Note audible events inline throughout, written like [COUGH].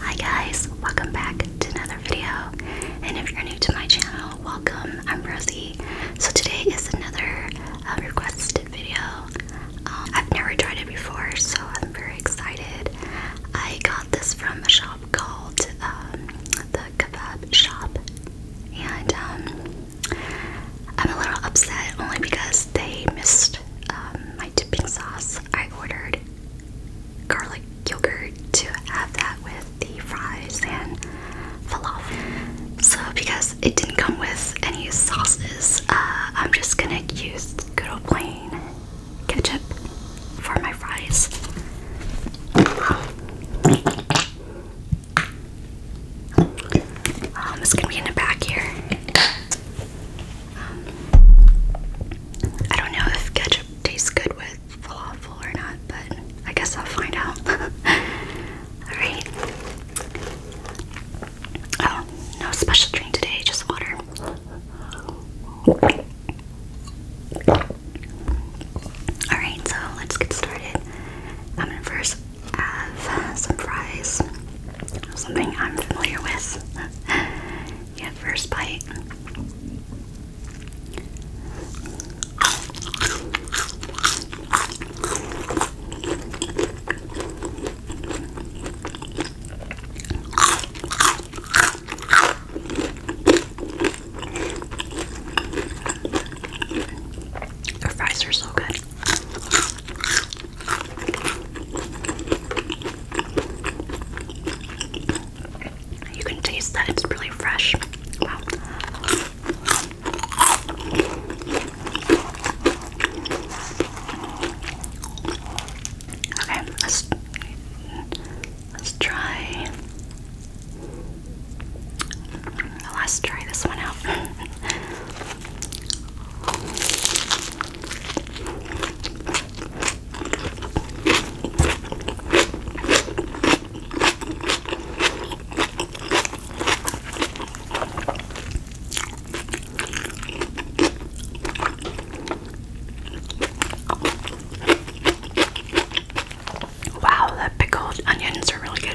Hi guys, welcome back to another video. And if you're new to my channel, welcome. I'm Rosie. So today is another uh, requested video. Um, I've never tried it before, so I'm very excited. I got this from a shop called um, the Kebab Shop, and um, I'm a little upset only because they missed um, my dipping sauce. I ordered garlic yogurt to have that with the fries and falafel. So because it didn't come with any sauces, uh, I'm just gonna use good old plain ketchup for my fries. Um, gonna be in the back here. Um, I don't know if ketchup tastes good with falafel or not, but I guess I'll find out. [LAUGHS] Alright. Oh, no special drink today, just water. Alright, so let's get started. I'm gonna first have some fries, something I'm familiar with. [LAUGHS] yeah, first bite. The fries are so good. You can taste that it's really fresh. Okay, let's let's try Let's try this one out. Wow, the pickled onions are really good.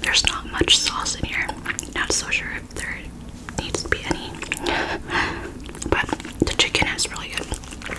There's not much sauce in here. Not so sure if there needs to be any. [LAUGHS] but the chicken is really good.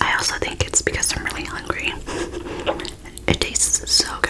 I also think it's because I'm really hungry. It tastes so good.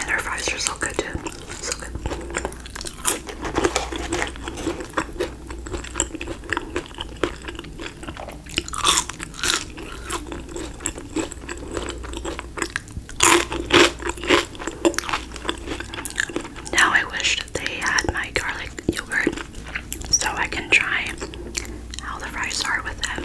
And our fries are so good too. So good. Now I wish they had my garlic yogurt so I can try how the fries are with them.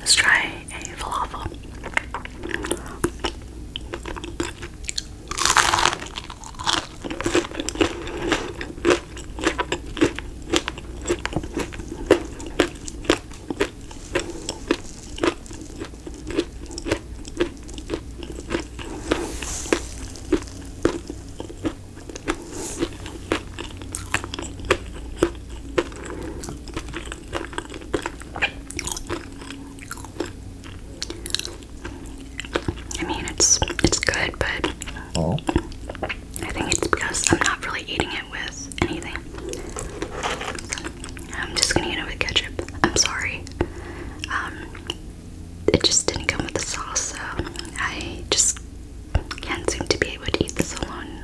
Let's try a falafel. I mean, it's it's good, but oh. I think it's because I'm not really eating it with anything. I'm just gonna eat it with ketchup. I'm sorry. Um, it just didn't come with the sauce, so I just can't seem to be able to eat this alone.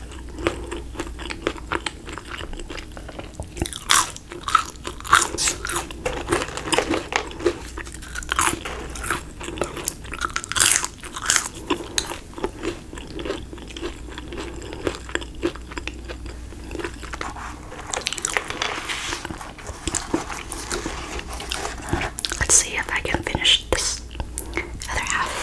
Let's see if I can finish wash this other half.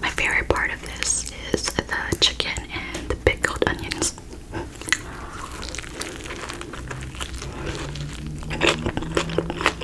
My favorite part of this is the chicken and the pickled onions.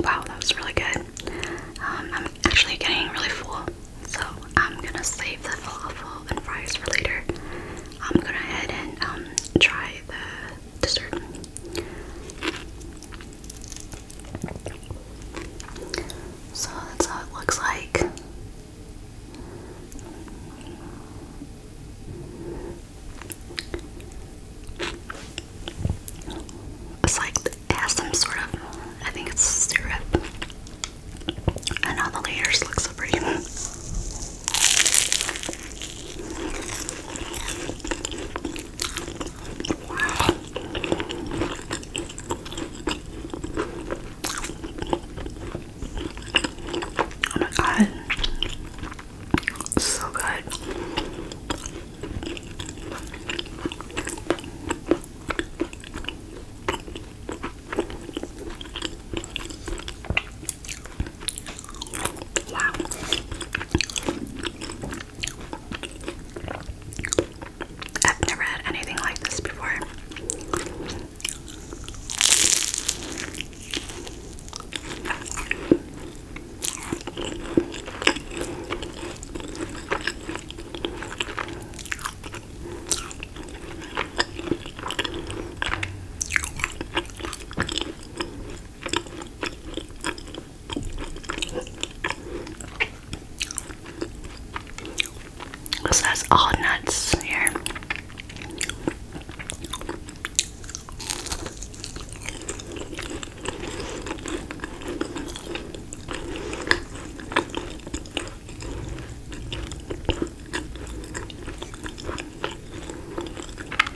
Wow, that was really good. Um, I'm actually getting really full, so I'm gonna save the falafel and fries for later. I'm gonna head and um, try the dessert. So that's how it looks like. It's like it has some sort of, I think it's syrup. And all the layers look so [LAUGHS] Oh my god. So good. Wow. I've never had anything like this before. So that's all nuts here.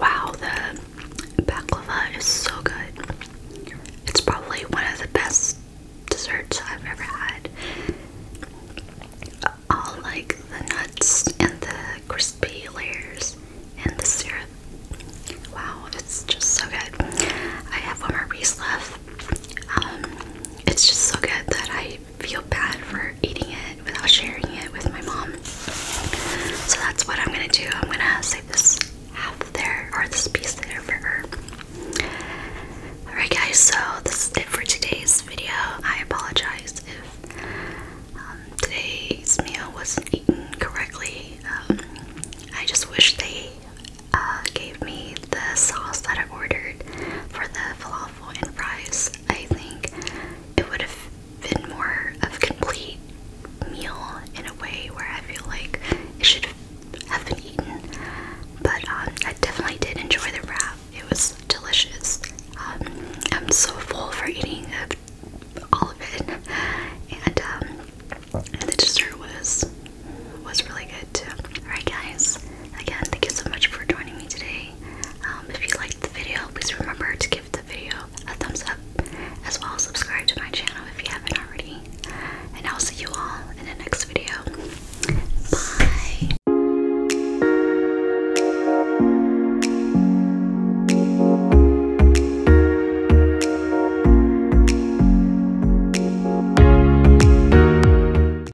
Wow, the baklava is so good. It's probably one of the best desserts I've ever had. All like the nuts and the crispy layers and the syrup. Wow, it's just so good. I have one more piece left. Um, it's just so good that I feel bad for eating it without sharing it with my mom. So that's what I'm gonna do. I'm gonna save this half there or this piece there for her. Alright, guys, so this is it for today's video. I apologize if um, today's meal wasn't eaten correctly. Um, I just wish they uh, gave me the sauce that I ordered for the falafel waffle fries. I think it would have been more of a complete meal in a way where I feel like it should have been eaten. But um, I definitely did enjoy the wrap. It was delicious. Um, I'm so full for eating all of it, um, and the dessert was was really good too. All right, guys. Again, thank you so much for joining me today. Um, if you liked the video, please remember to give the video a thumbs up, as well as subscribe to my channel if you haven't already. And I'll see you all in the next video. Bye!